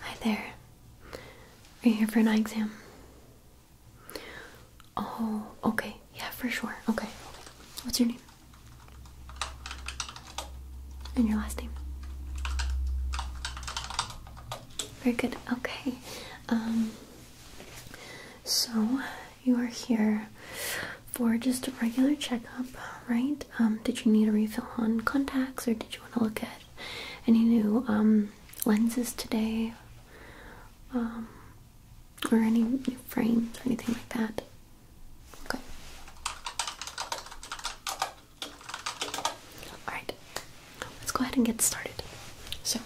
Hi there. Are you here for an eye exam? Oh, okay. Yeah, for sure. Okay. What's your name? And your last name? Very good. Okay. Um so you are here for just a regular checkup, right? Um, did you need a refill on contacts, or did you want to look at any new um, lenses today, um, or any new frames or anything like that? Okay. All right. Let's go ahead and get started. So,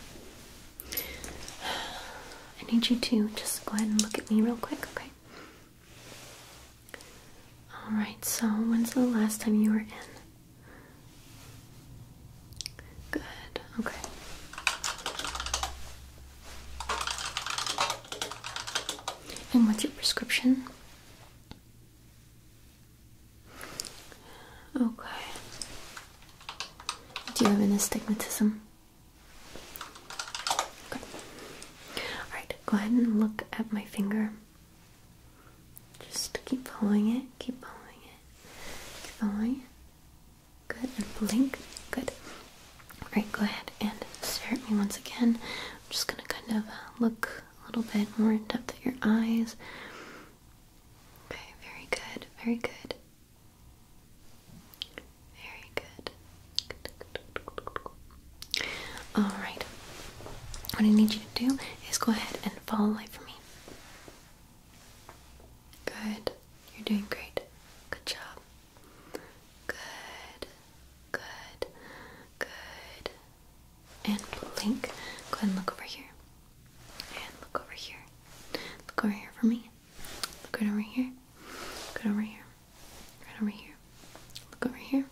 I need you to just go ahead and look at me real quick, okay? Alright, so when's the last time you were in? Good, okay. And what's your prescription? Okay. Do you have an astigmatism? Alright, go ahead and look at my finger. Just keep following it, keep following it, keep following Good, and blink. Good. Alright, go ahead and stare at me once again. I'm just gonna kind of uh, look a little bit more in depth at your eyes. Okay, very good, very good. Very good. Alright. What I need you to do is go ahead and follow light for me. Good. You're doing great. Good job. Good. Good. Good. And blink. Go ahead and look over here. And look over here. Look over here for me. Look right over here. Look right over here. Right over here. Look over here.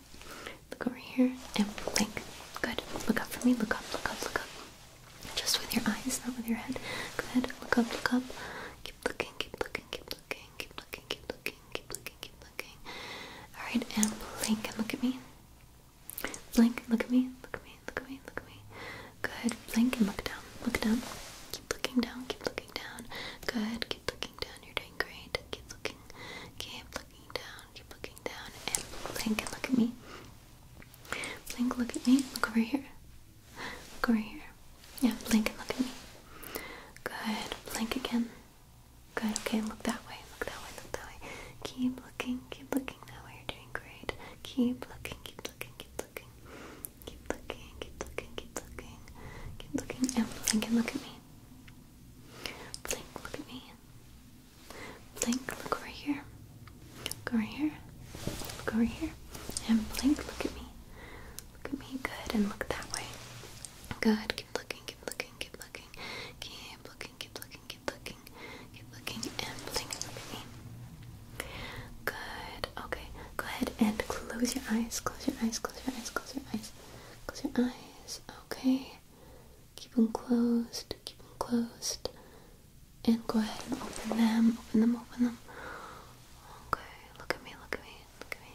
Look over here. And blink. Good. Look up for me. Look up. Look up. Look up. Just with your eyes, not with your head. Go ahead. Look up. Look up. Keep looking. Keep looking. Keep looking. Keep looking. Keep looking. Keep looking. Keep looking. All right. And blink. And look at me. Blink. Look at me. Look at me. Look at me. Look at me. Good. Blink and look down. Look down. Keep looking down. Keep looking down. Good. Keep looking down. You're doing great. Keep looking. Keep looking down. Keep looking down. And blink and look at me. Blink, look at me. Look over here. Look over here. Yeah, blink and look at me. Good. Blink again. Good. Okay, look that way. Look that way. Look that way. Keep looking. Keep looking that way. You're doing great. Keep looking. Keep looking. Keep looking. Keep looking, keep looking, keep looking. Keep looking and blink and look at me. Blink, look at me. Blink, look over here. Look over here. Look over here. And blink, look at me. Look at me, good, and look that way. Good, keep looking, keep looking, keep looking. Keep looking, keep looking, keep looking. Keep looking and blink, look at me. Good. Okay. Go ahead and close your eyes. Close your eyes. Close your eyes. Close your eyes. Close your eyes. Okay. Keep them closed. Keep them closed. And go ahead and open them. Open them. Open them. Okay. Look at me. Look at me. Look at me.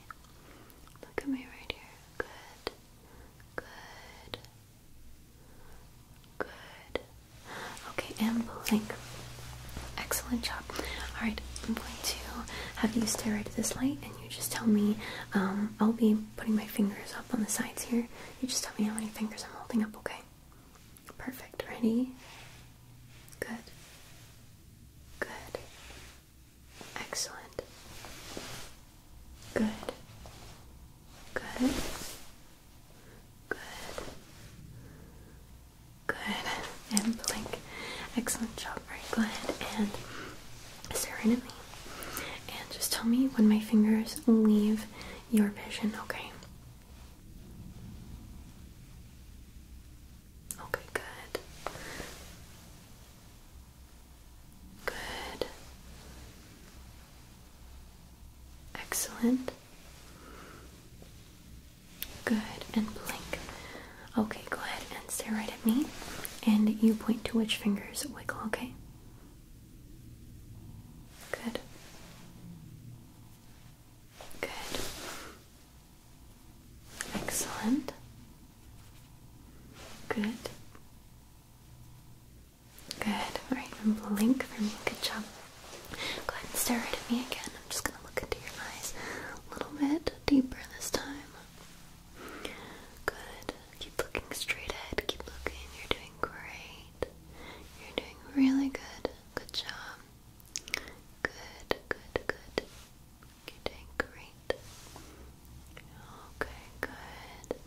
Look at me right here. Good. Good. Good. Okay, and blink. Excellent job. All right, I'm going to have you stare right at this light, and you just tell me. Um, I'll be putting my fingers up on the sides here. You just tell me how many fingers I'm holding up. Okay. Perfect. Ready? Good. Good. Excellent. Good. Good. Good. Good. And blink. Excellent job. Alright, go ahead and stare right And just tell me when my fingers leave your vision, okay? Okay, good. Good. Excellent. Good, and blink. Okay, go ahead and stare right at me, and you point to which fingers wiggle, okay? Good. Good. Excellent. Good. Good. Alright, blink for me. Good job. Go ahead and stare right at me again. I'm just gonna look into your eyes a little bit deeper this time. Good. Keep looking straight ahead. Keep looking. You're doing great. You're doing really good. Good job. Good, good, good. You're doing great. Okay, good.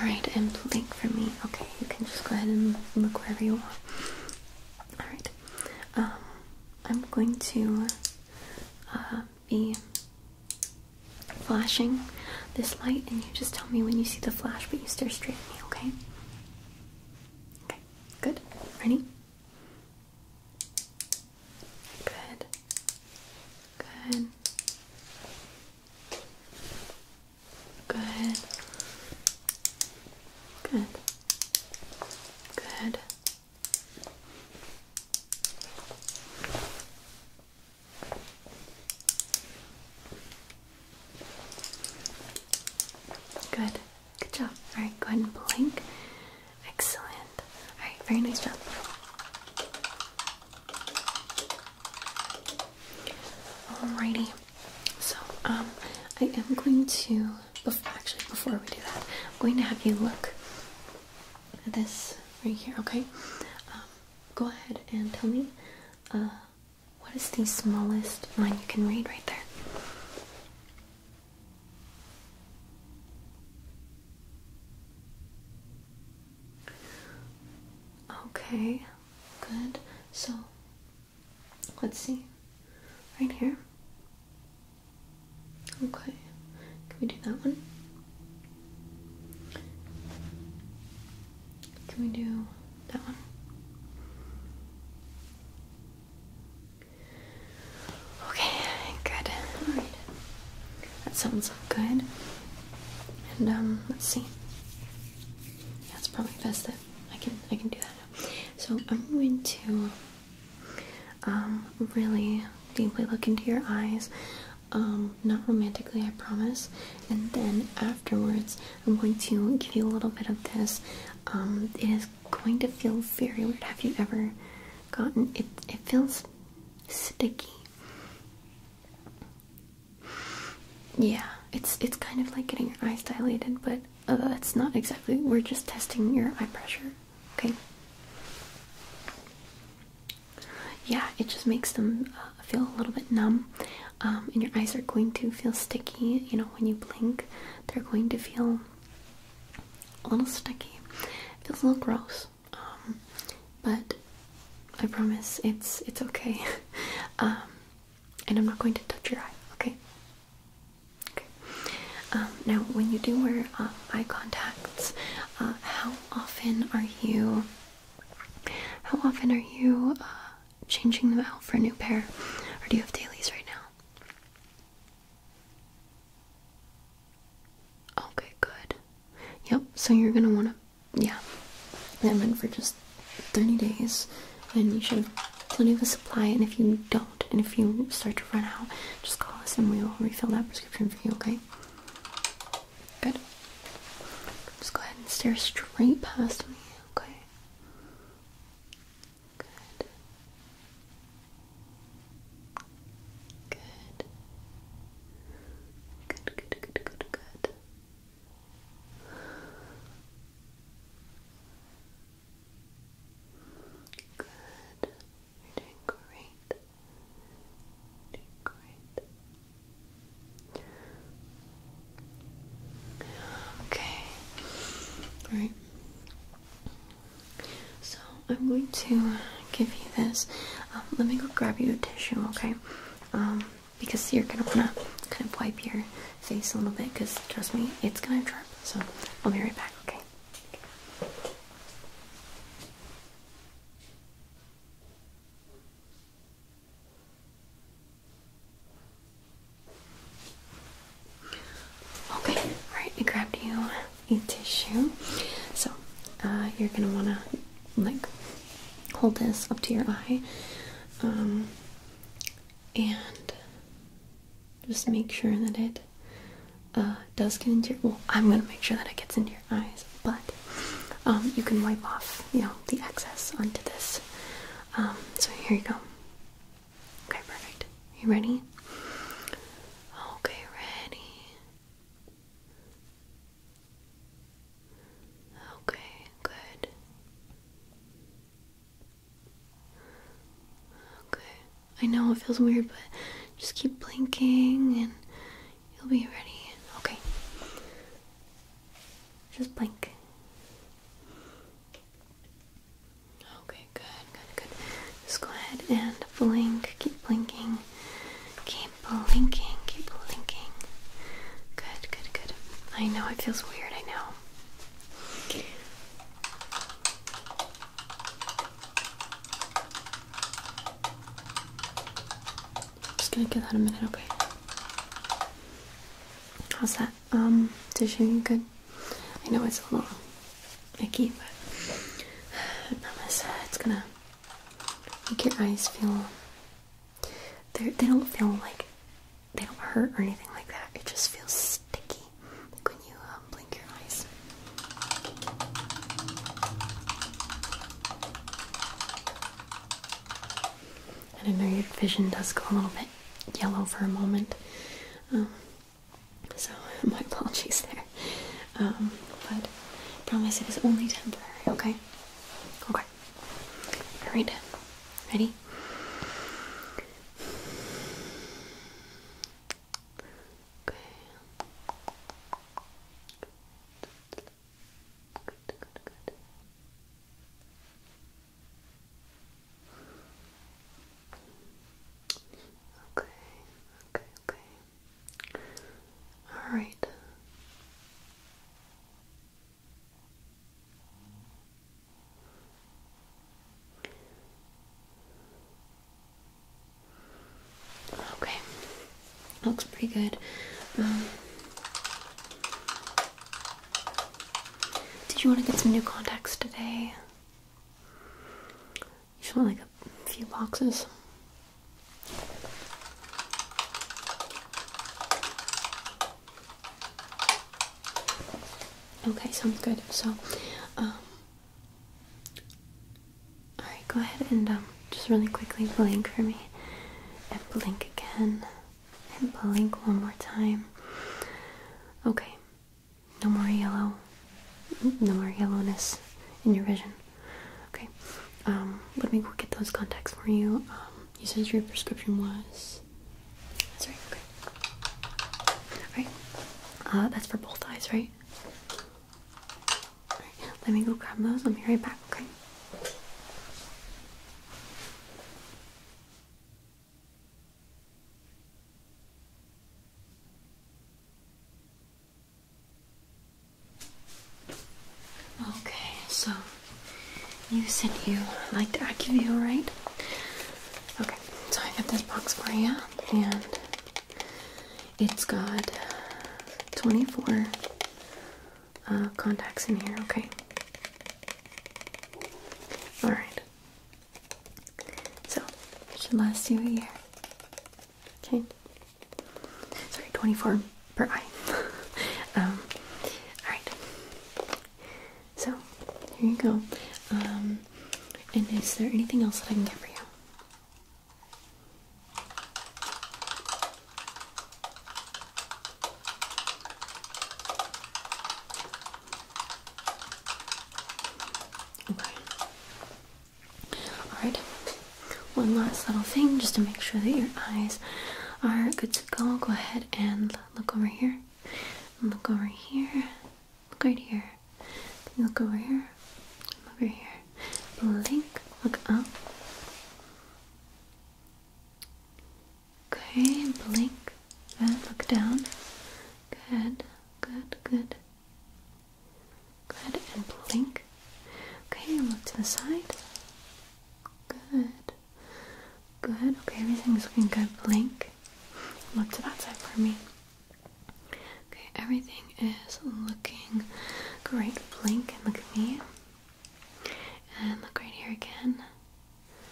Alright, and blink for me. Okay, you can just go ahead and look wherever you want. Alright. Um, I'm going to uh, be flashing this light, and you just tell me when you see the flash, but you stare straight at me, okay? Okay, good. Ready? Good. Good. Good. Good. Good. Good. Good job. Alright, go ahead and blink. Excellent. Alright, very nice job. Alrighty. So, um, I am going to before, actually, before we do that, I'm going to have you look at this right here, okay? Um, go ahead and tell me uh, what is the smallest line you can read right there? Okay, good. So let's see. Right here. Okay, can we do that one? Can we do that one? Okay, good. That sounds good. And um let's see. That's probably best that I can I can do that So I'm going to um, really deeply look into your eyes. Um, not romantically, I promise. And then afterwards, I'm going to give you a little bit of this. Um, it is going to feel very weird. Have you ever gotten it? It feels sticky. Yeah, it's it's kind of like getting your eyes dilated, but uh, it's not exactly. We're just testing your eye pressure. Okay. Yeah, it just makes them uh, feel a little bit numb, um, and your eyes are going to feel sticky. You know, when you blink, they're going to feel a little sticky. feels a little gross, um, but I promise it's it's okay. Um, and I'm not going to touch your eye. Okay. Okay. Um, now, when you do wear uh, eye contacts, uh, how often are you? How often are you uh, changing them out for a new pair, or do you have dailies right now? Okay, good. Yep. So you're gonna wanna, yeah. They're for just thirty days, and you should have plenty of a supply. And if you don't, and if you start to run out, just call us and we will refill that prescription for you, okay? Good. Just go ahead and stare straight past me, okay? Good. Good. Good, good, good, good, Good. You're doing great. Doing great. Okay. All right. So I'm going to give you this. Um, let me go grab you a tissue, okay? Um, because you're gonna wanna kind of wipe your face a little bit. Because trust me, it's gonna drip. So I'll be right back. Okay. Okay, alright, I grabbed you a tissue. So, uh, you're gonna wanna like hold this up to your eye um, and just make sure that it uh, does get into your well I'm gonna make sure that it gets into your eyes but um, you can wipe off you know the excess onto this um, so here you go okay perfect you ready okay ready Okay, good. Okay, I know it feels weird, but just keep blinking and you'll be ready. Okay, just blink. Okay, good, good, good. Just go ahead and blink. Keep blinking. Keep blinking. Keep blinking. Good, good, good. I know it feels weird. I know. Okay. I'm just gonna give that a minute, okay? How's that? Um, dishing good? I know it's a little icky, but I promise it's gonna make your eyes feel. They don't feel like they don't hurt or anything like that. It just feels sticky. Like when you um, blink your eyes. And I know your vision does go a little bit yellow for a moment. Um, so my apologies there. Um, but I promise it is only temporary, okay? Okay. Alright. Ready? Okay. Good. Good, good, good. Okay, okay, okay. All right. Okay, looks pretty good. Um, did you want to get some new contacts today? You just want like a few boxes. Okay, sounds good. So, um, Alright, go ahead and um, just really quickly blink for me. And blink again. And blink one more time. Okay. No more yellow. No more yellowness in your vision. Okay. Um, let me get those contacts for you. Um, you said your prescription was. That's right. Okay. All right. Uh, that's for both eyes, right? let me go grab those. I'll be right back, okay? Okay, so you said you liked Acuvue, right? Okay, so I got this box for you, and it's got 24 uh, contacts in here, okay? Alright. So, it should last you a year. Okay? Sorry, 24 per eye. um, Alright. So, here you go. Um, and is there anything else that I can get for you? Okay. Alright, one last little thing just to make sure that your eyes are good to go. Go ahead and look over here. Look over here. Look right here. Can you look over here? Look over here. Blink. Look up. Okay, blink. Good. Look down. Good. Good. Good. Good. And blink. Okay, look to the side. Good. Good. Okay, everything's looking good. Blink. Look to that side for me. Okay, everything is looking great. Blink and look at me. And look right here again.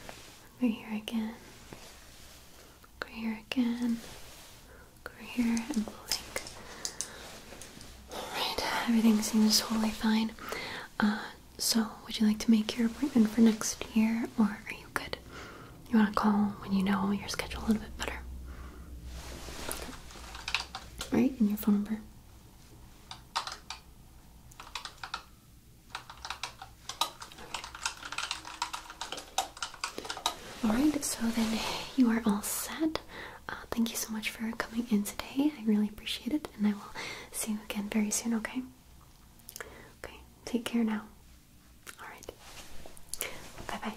Look right here again. Look right here again. Look right here and blink. Alright, everything seems totally fine. Uh, so, would you like to make your appointment for next year or are you good? You want to call when you know your schedule a little bit better. Right? And your phone number. Alright, so then you are all set. Uh, thank you so much for coming in today. I really appreciate it, and I will see you again very soon, okay? Okay, take care now. Alright. Bye bye.